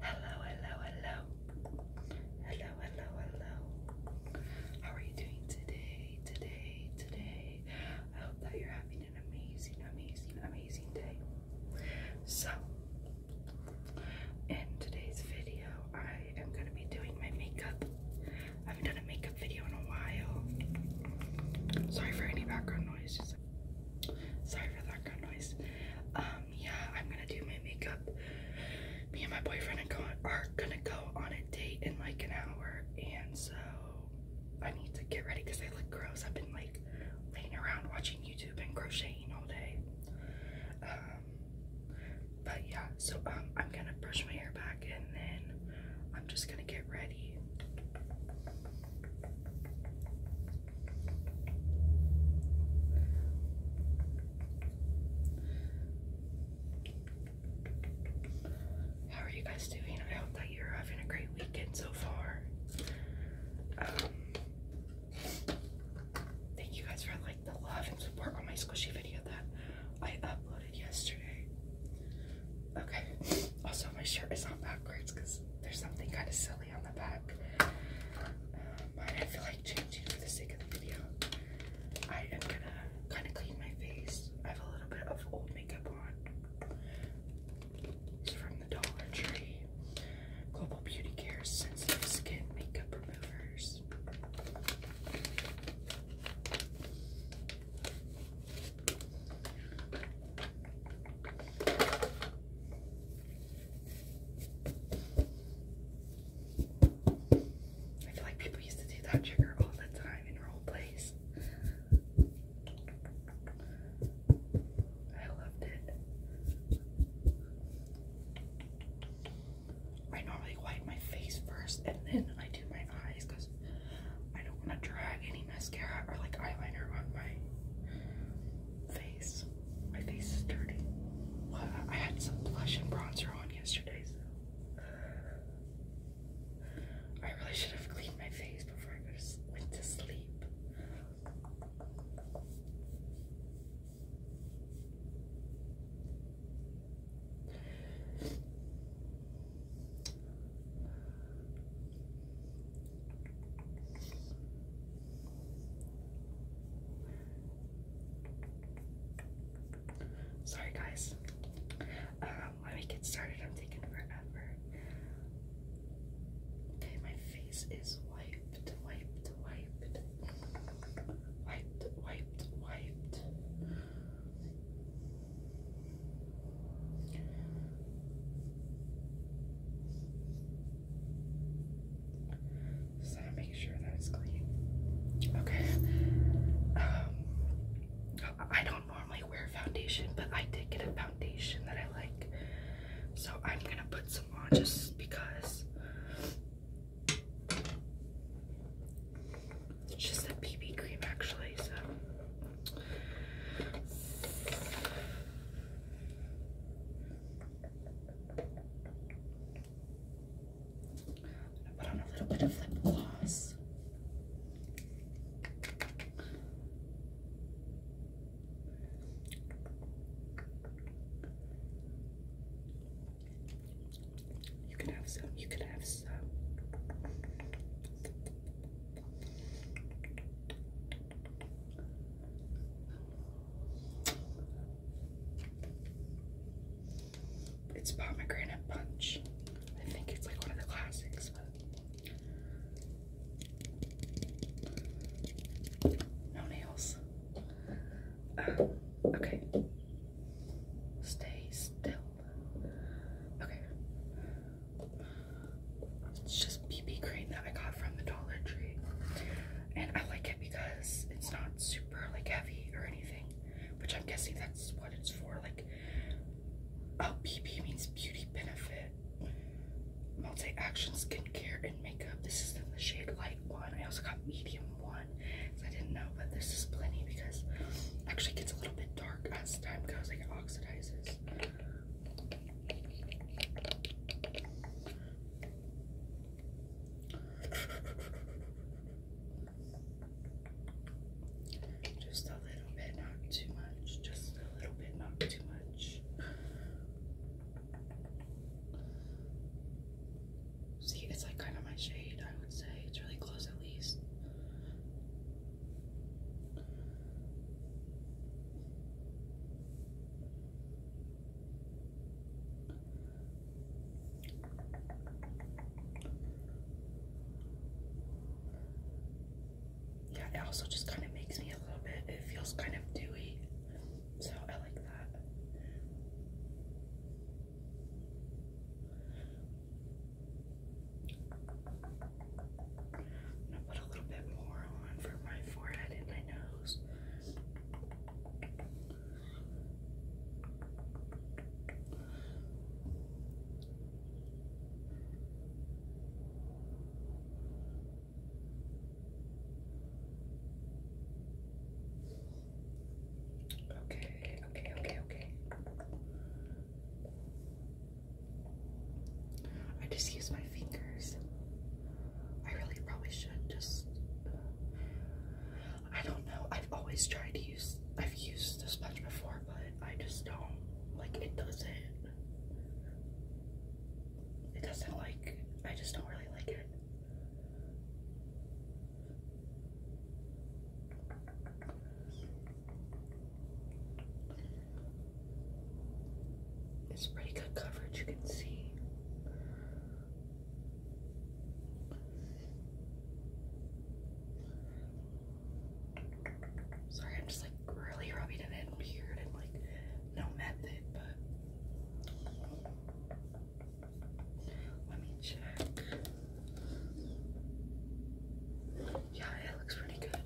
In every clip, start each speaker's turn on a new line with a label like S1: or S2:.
S1: Hello, hello, hello. Hello, hello, hello. How are you doing today? Today, today. I hope that you're having an amazing, amazing, amazing day. So, in today's video, I am going to be doing my makeup. I haven't done a makeup video in a while. Sorry for any background noise. sorry for background noise. Um, yeah, I'm gonna do my makeup. Me and my boyfriend are gonna go on a date in like an hour, and so I need to get ready because I look gross. I've been like laying around watching YouTube and crocheting all day. Um, but yeah, so um, I'm gonna brush my hair back and then I'm just gonna get ready. How are you guys doing? I hope that you're having a great weekend so far. Um, thank you guys for like the love and support on my squishy video that I uploaded yesterday. Okay. Also, my shirt is on backwards because there's something kind of silly on the back. Um, I feel like changing for the sake of the video. I am gonna kind of clean my face. I have a little bit of old makeup on. It's from the Dollar Tree. Global Beauty Care Sensitive Skin Makeup Removers. I feel like people used to do that trigger all the time in role plays. I loved it. I normally wipe my face first and then I do my eyes I don't want to drag any mascara or like eyeliner on my face. My face is dirty. I had some blush and bronzer on yesterday, so I really should have cleaned my face before I went to sleep. Sorry, guys. let um, me get started. I'm taking forever. Okay, my face is wiped, wiped, wiped, wiped, wiped, wiped. So make sure that it's clean. Okay. Um, I don't normally wear foundation, but I did get a foundation that I like. So I'm gonna put some on just because it's just a BB cream actually, so put on a little bit of lip gloss. You can have some, you can have some. It's pomegranate punch. I think it's like one of the classics, but no nails. Ah, okay. Stay still. Okay. It's just BB cream that I got from the Dollar Tree. And I like it because it's not super like heavy or anything. Which I'm guessing that's what it's for. Like oh BB means beauty benefit. Multi-action skincare and makeup. This is in the shade light one. I also got medium one I didn't know, but this is plenty because it actually gets a little bit dark as time goes, like it oxidizes. Just a little bit, not too much. Just a little bit, not too much. See, it's like kind of my shade, I would say. It's really close at least. Yeah, it also just kind of makes me a little bit, it feels kind of dewy, so I like that. I'm gonna put a little bit more on for my forehead and my nose. Okay, okay, okay, okay. I just use my fingers. I really probably should just. I don't know. I've always tried to use. I've used this sponge before, but I just don't. Like, it doesn't. It doesn't like. I just don't really like it. It's pretty good coverage, you can see. Sorry, I'm just like really rubbing it in weird and like no method, but let me check. Yeah, it looks pretty good.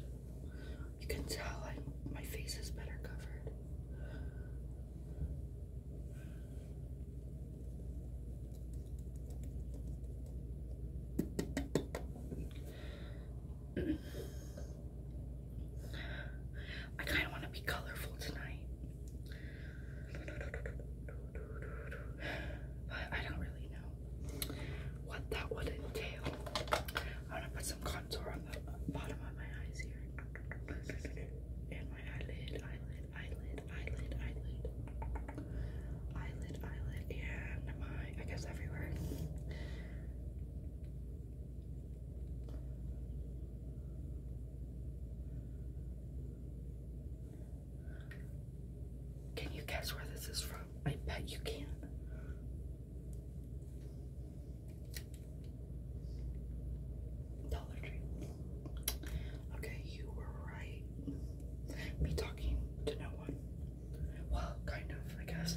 S1: You can tell my face is better covered. I kind of want to be colorful tonight. I don't really know what that would entail. I'm gonna put some contour on the bottom of my eyes here. And my eyelid, eyelid, eyelid, eyelid, eyelid. Eyelid, eyelid, and my, I guess, everywhere. Can you guess where this is from? I bet you can. Dollar Tree. Okay, you were right. Me talking to no one. Well, kind of, I guess.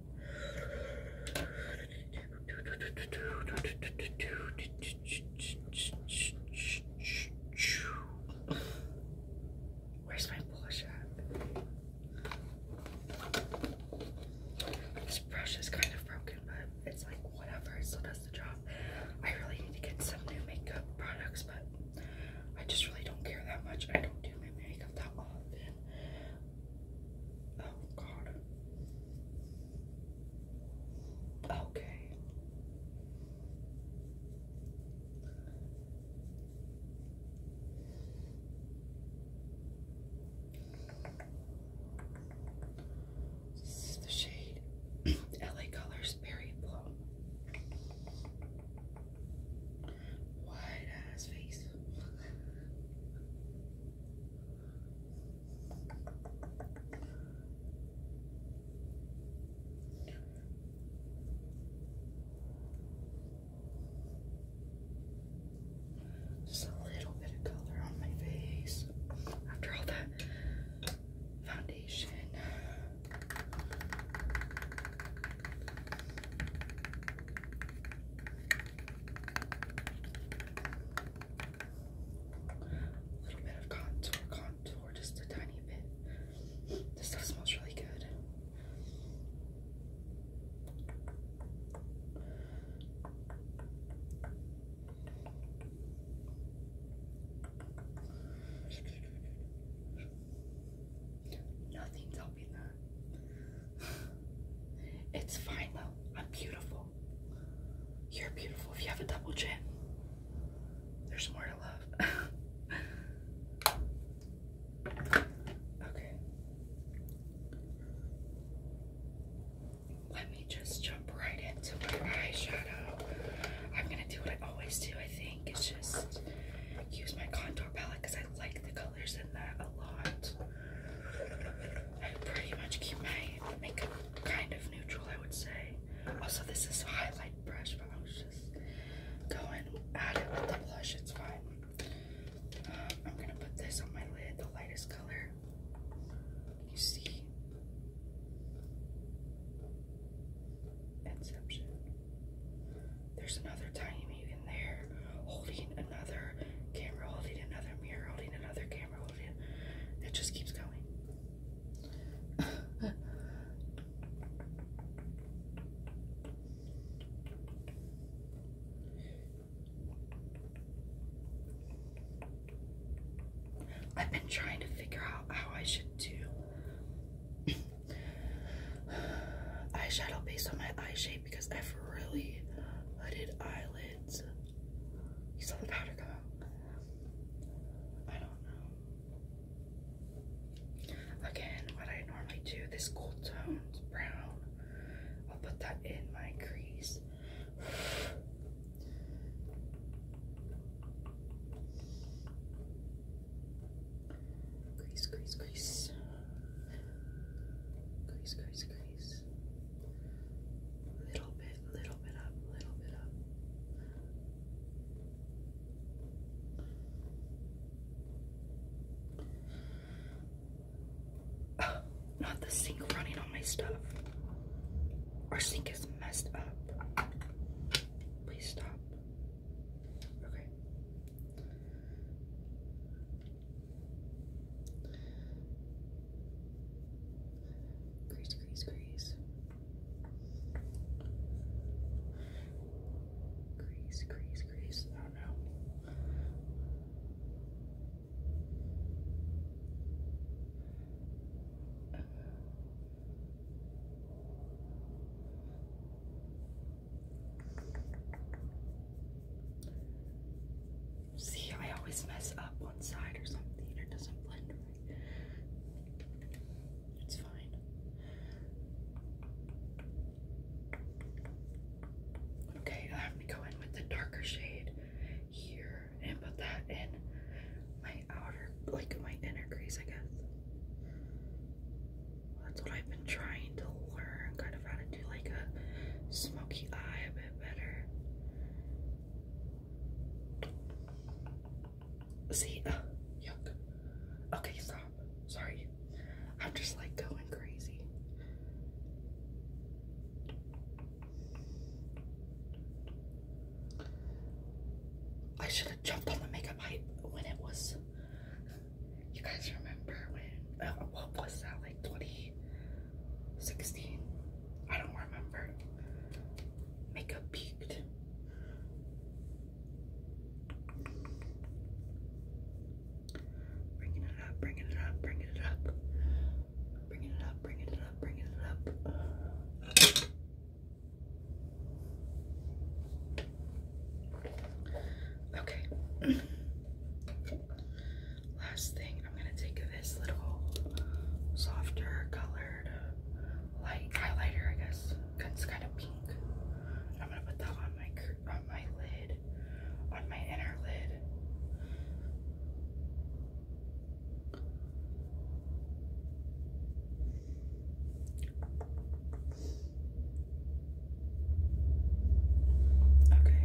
S1: Where's my polish at? This brush is kind of broken, but it's like whatever, it still does the job. I really need to get some new makeup products, but I just really don't care that much. I don't do my makeup that often. Oh, God. Okay. This is the shade LA Colors Berry Plum wide ass face. Just a little bit of color on my face after all that foundation. A little bit of contour, contour, just a tiny bit. This stuff smells really good. Nothing's It's fine though. I'm beautiful. You're beautiful if you have a double chin. There's more to love. okay. Let me just jump right into my eyeshadow. I'm gonna do what I always do, I think. It's just use my contour palette because I like the colors that a lot. I pretty much keep my makeup kind of neutral, I would say. Also, this is a highlight brush, but I was just going at it with the blush. It's fine. Um, I'm gonna put this on my lid, the lightest color. You see? Inception. There's another tiny mutant there holding another camera, holding another mirror, holding another camera, holding. It just keeps going. I've been trying to figure out how I should do eyeshadow based on my eye shape because I have really hooded eyelids. You saw the powder go. out. I don't know. Again, what I normally do, this gold tone brown, I'll put that in my crease. Crease, crease, crease. Crease, crease, crease. Little bit, little bit up, little bit up. Oh, not the sink running on my stuff. Our sink is messed up. Please stop. Okay. Crease, crease, crease. Crease, crease, crease. Oh no. See, I always mess up one side or something. It doesn't blend right. It's fine. Okay, I'm go in with the darker shade here and put that in my outer, like my inner crease, I guess. That's what I've been trying to learn, kind of how to do like a smoky eye a bit better. See, uh, yuck. Okay, stop. Sorry. I'm just like going crazy. I should have jumped on the makeup hype when it was you guys remember when, uh, what was that, like 2016? I don't remember. Makeup peaked. Bringing it up, bringing it up, bringing it up. Bringing it up, bringing it up, bringing it up. Okay. Last thing, I'm gonna take this little softer colored light highlighter, I guess. It's kind of pink. I'm gonna put that on my on my lid, on my inner lid. Okay.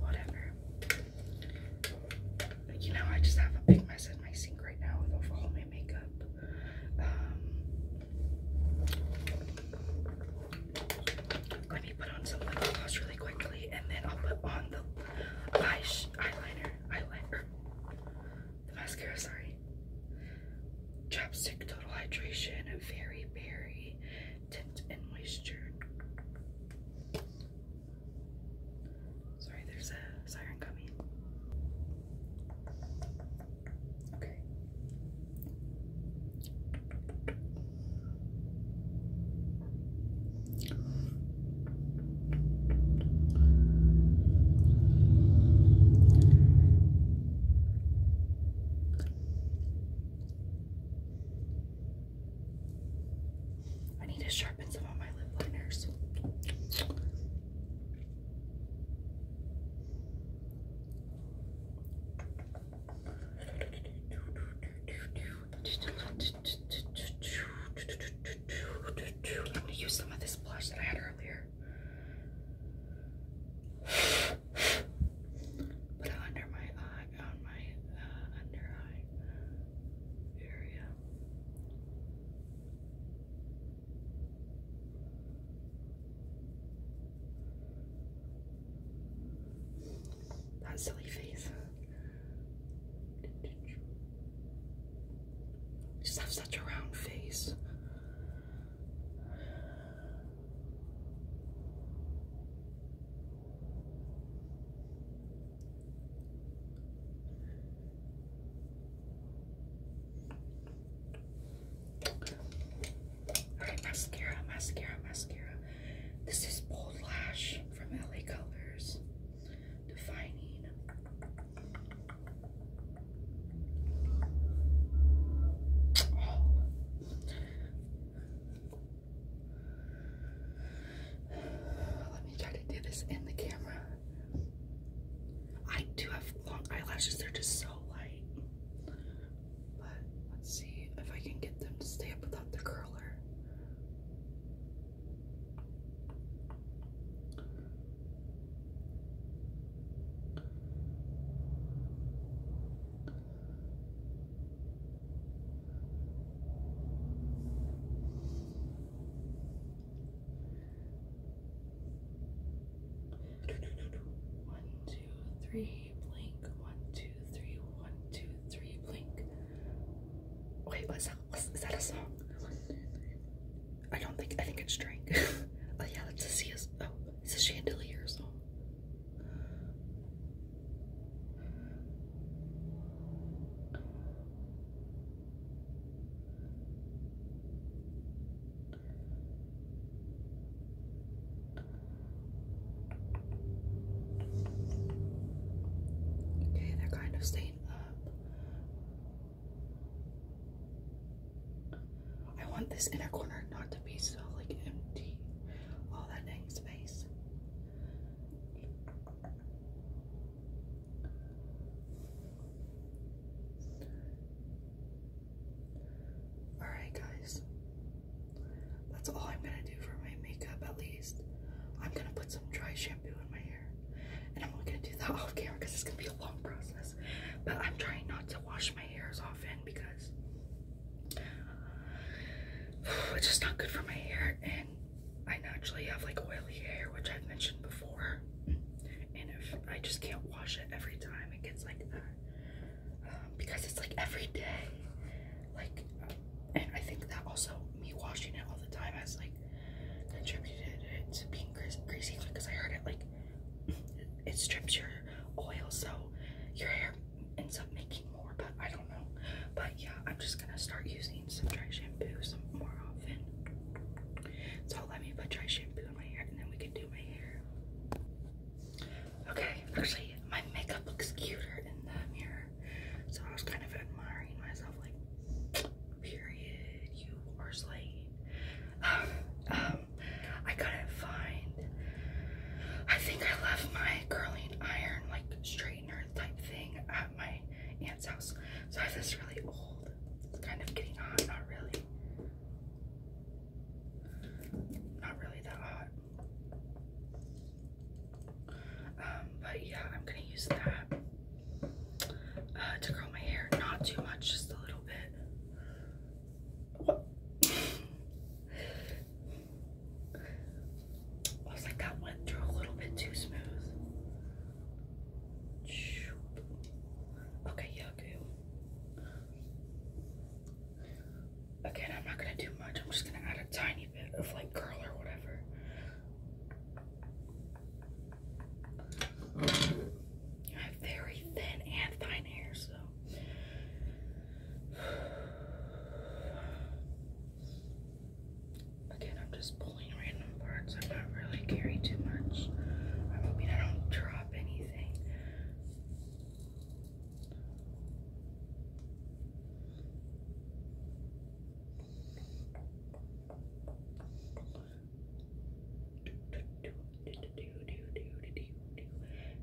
S1: Whatever. You know, I just have a big mess in my sink right now with all my makeup. Um, let me put on some lip gloss really quickly, and then I'll put on the eyeliner, eyeliner, the mascara, sorry. Chapstick Total Hydration and Fairy Berry Tint and Moisture. Sorry, there's a siren coming. Okay. I need to sharpen some of my lip liners. Let me use some of this blush that I had earlier. Put it under my eye, on my uh, under eye area. That silly face just have such a round face. Alright, mascara, mascara, mascara. This is Bold Lash from LA Colors defining. Let me try to do this in the camera. I do have long eyelashes, they're just so light. But let's see if I can get them to stay up without the curler. One, two, three, blink. One, two, three, one, two, three, blink. Wait, what's that? is that a song? I don't think, I think it's drink. oh yeah, that's a CS, oh, it's a chandelier song. Okay, they're kind of staying. I want this inner corner not to be so like empty. All that dang space. Alright, guys. That's all I'm gonna do for my makeup at least. I'm gonna put some dry shampoo in my and I'm only gonna do that off camera because it's gonna be a long process. But I'm trying not to wash my hair as often because it's just not good for my hair. And I naturally have like oily hair, which I've mentioned before. And if I just can't wash it every time, it gets like that. Um, because it's like every day. Like, and I think that also me washing it all the time has like contributed to being crazy because I heard it like it strips your oil so your hair ends up making more but I don't know but yeah I'm just gonna start using some dry shampoo more often so let me put dry shampoo in my hair and then we can do my hair okay actually my makeup looks cuter in the mirror so I was kind of admiring myself like Period. You are slain. Um, um, I couldn't find. I think I left my curling iron, like straightener type thing, at my aunt's house. So I have this really old. kind of getting hot. Not really. Not really that hot. Um, but yeah, I'm gonna use that uh, to curl my hair. Not too much, just a little bit. What? I like, that went through a little bit too smooth. Okay, yeah, okay. Again, I'm not gonna do much. I'm just gonna add a tiny bit of like curl or whatever I have very thin and fine hair, so again, I'm just pulling random parts. I'm not really caring too much. I'm hoping I don't drop anything.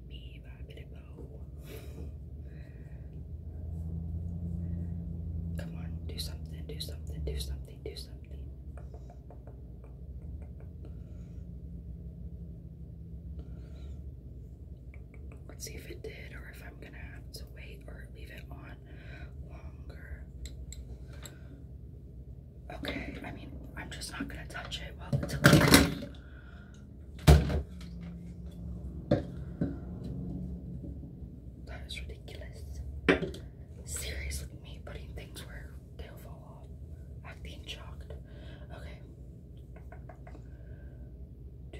S1: Me, Bobby Come on, do something, do something, do something, do something. Let's see if it did or if I'm gonna have to wait or leave it on longer. Okay, I mean, I'm just not gonna touch it That is ridiculous. Seriously, me putting things where they'll fall off. Acting shocked. Okay. Do,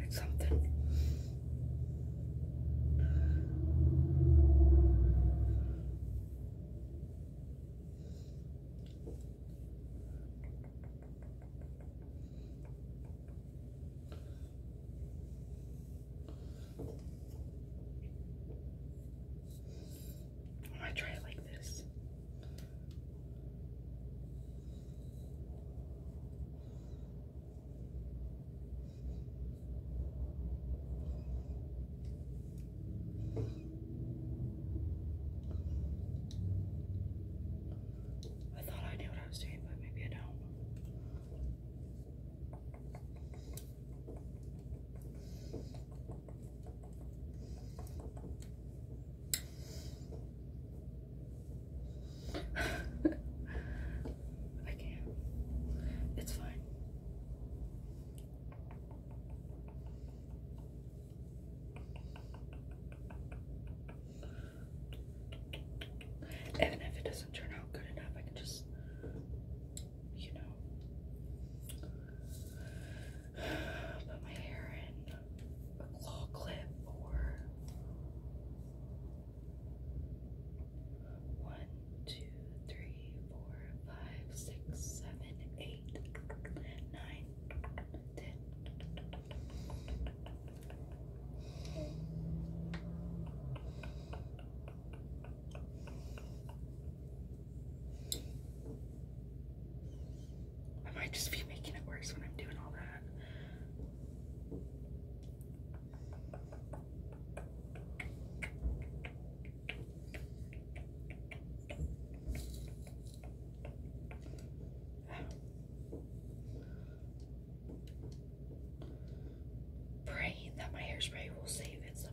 S1: It's something. I try it like this. I thought I knew what I was doing, but maybe I don't. I can It's fine. Even if it doesn't turn out good enough, I can just you know, put my hair in a claw clip or one, two, three, four, five, six, seven, eight, nine, ten. I might just be making it worse when I'm doing all that. Praying that my hairspray will save it somehow.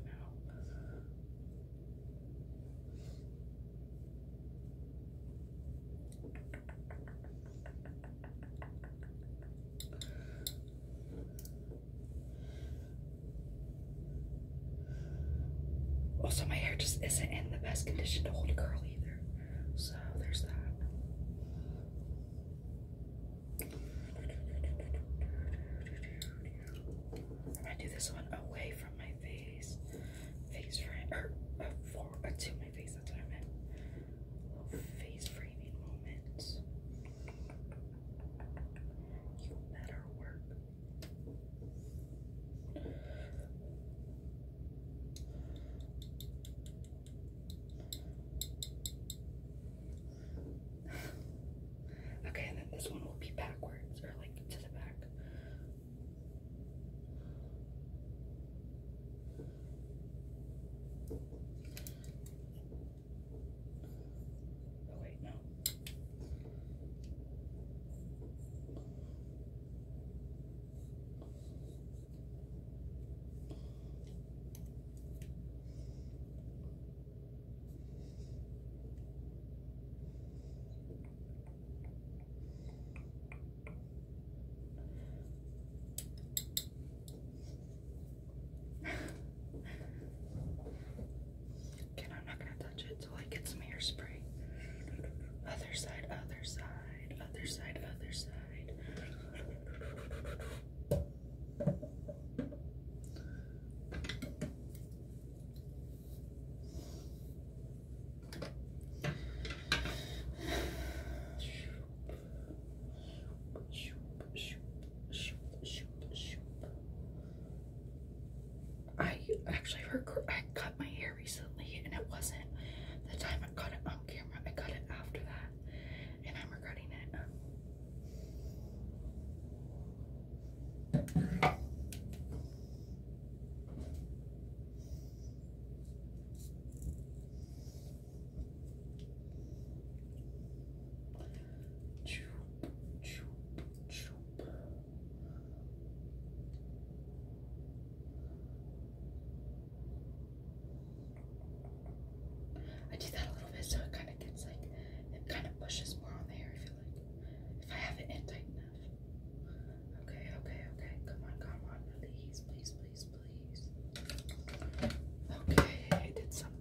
S1: Also, my hair just isn't in the best condition to hold a curl either, so there's that. I'm gonna do this one away from my face, face frame, or uh, forward uh, to my face. That's what I meant. face framing moments. You better work. Okay, and then this one will be backwards or like to the back. Oh, wait, no. Again, I'm not gonna touch it till I get some hairspray. Other side, other side, other side, other side. I actually I cut my hair recently and it wasn't the time I cut it on camera. I cut it after that and I'm regretting it. I did that a little bit so it kind of it gets like it kind of pushes more on the hair. I feel like if I have it in tight enough. Okay, okay, okay. Come on, come on, please, please, please, please. Okay, I did something.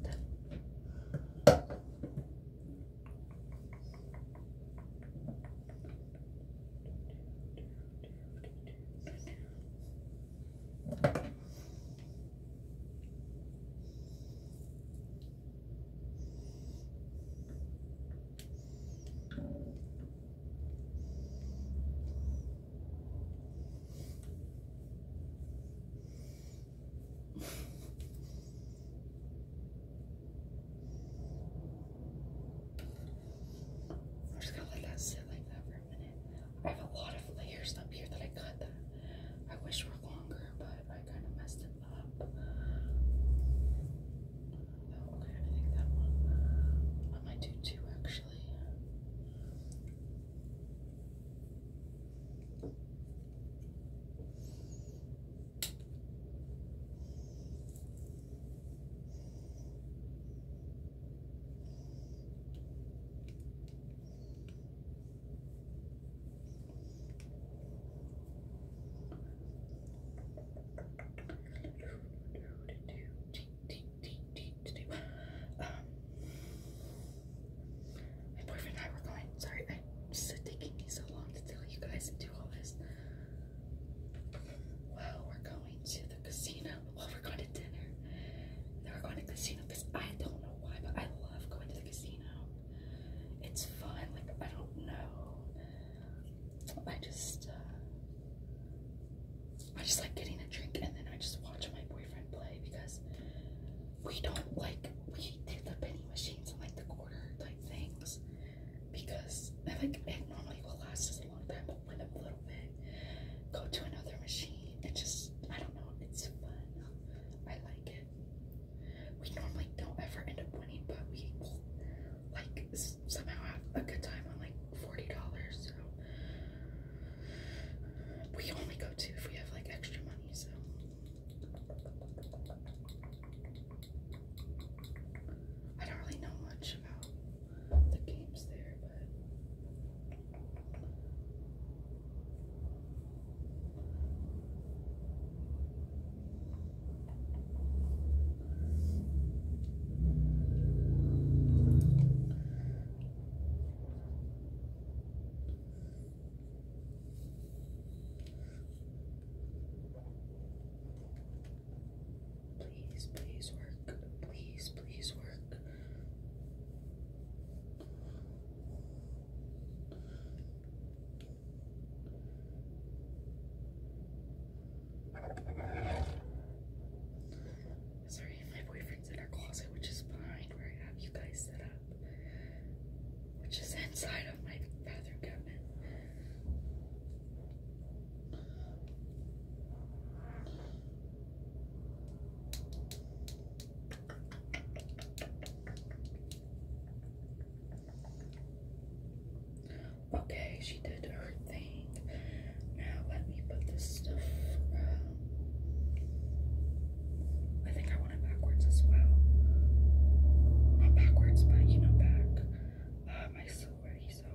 S1: I'm just gonna let that sit like that for a minute. I have a lot of layers up here that I cut that I wish were longer, but I I kind of messed it up. Oh, I might do two actually. Um, my boyfriend and I were going. Sorry, it's taking me so long to tell you guys and do all this. Well, we're going to the casino. Well, we're going to dinner. Then we're going to the casino because I don't know why, but I love going to the casino. It's fun. Like I don't know. I just uh, I just like getting a drink and then I just watch my boyfriend play because we don't like we do the penny machines and like the quarter type things because I like it normally will last us a long time but win a little bit. Go to another machine. It just I don't know. It's fun. I like it. We normally don't ever end up winning, but we will, like, somehow have a good time on, like, $40, so we only go to if we have, like, extra money, so. I don't really know much about the games there, but Please, please work. Please, please work. Sorry, my boyfriend's in our closet, which is behind where I have you guys set up, which is inside of my bathroom cabinet. Okay, she did her thing. Now let me put this stuff. Um, I think I want it backwards as well. Not backwards, but you know, back. Uh, my silver self.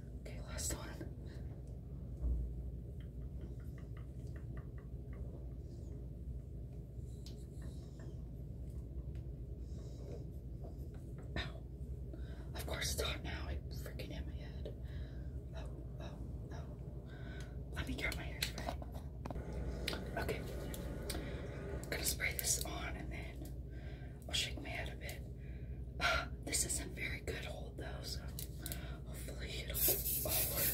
S1: Okay, last one. Ow. Of course it's hot now. It freaking hit my head. Oh, oh, oh. Let me get my hairspray. Okay. I'm gonna spray this on and then I'll shake my head a bit. Ah, this isn't very good hold though, so hopefully it'll all work.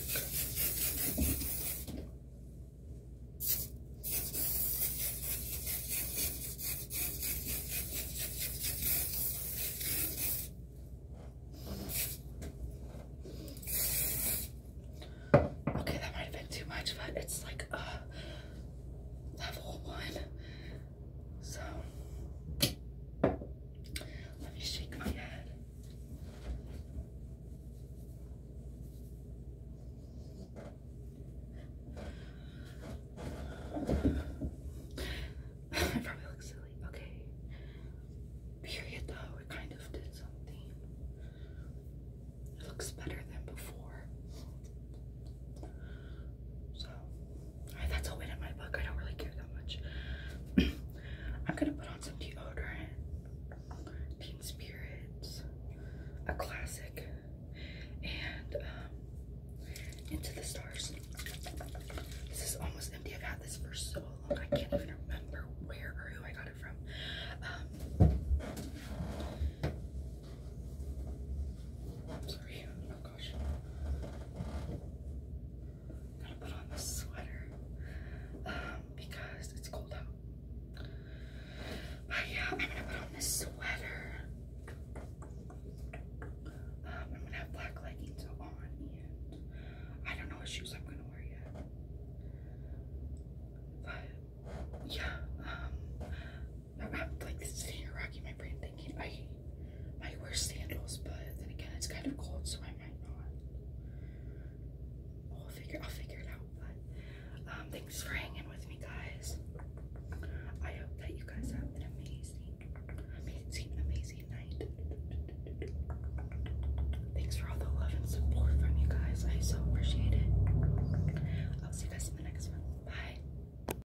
S1: Okay, that might have been too much, but it's like uh, level one. So let me shake my head. I probably look silly. Okay. Period though, it kind of did something. It looks better than before. So that's all it in my book. I don't really care that much. I'm gonna put on some deodorant, Teen Spirits, a classic, and um, Into the Stars. This is almost empty. I've had this for so long. I can't even remember where or who I got it from. Um, sorry gosh. Gotta put on this sweater um, because it's cold out. But yeah, I'm gonna put on this sweater. Um, I'm gonna have black leggings on, I don't know what shoes I'm gonna wear yet. But yeah, um, I'm like sitting here rocking my brain thinking I might wear sandals, but then again it's kind of cold, so I might not. I'll figure I'll figure it out. But um, thanks for hanging with me, guys. I hope that you guys have an amazing, amazing, amazing night. Thanks for all the love and support from you guys. I so appreciate it. I'll see you guys in the next one. Bye.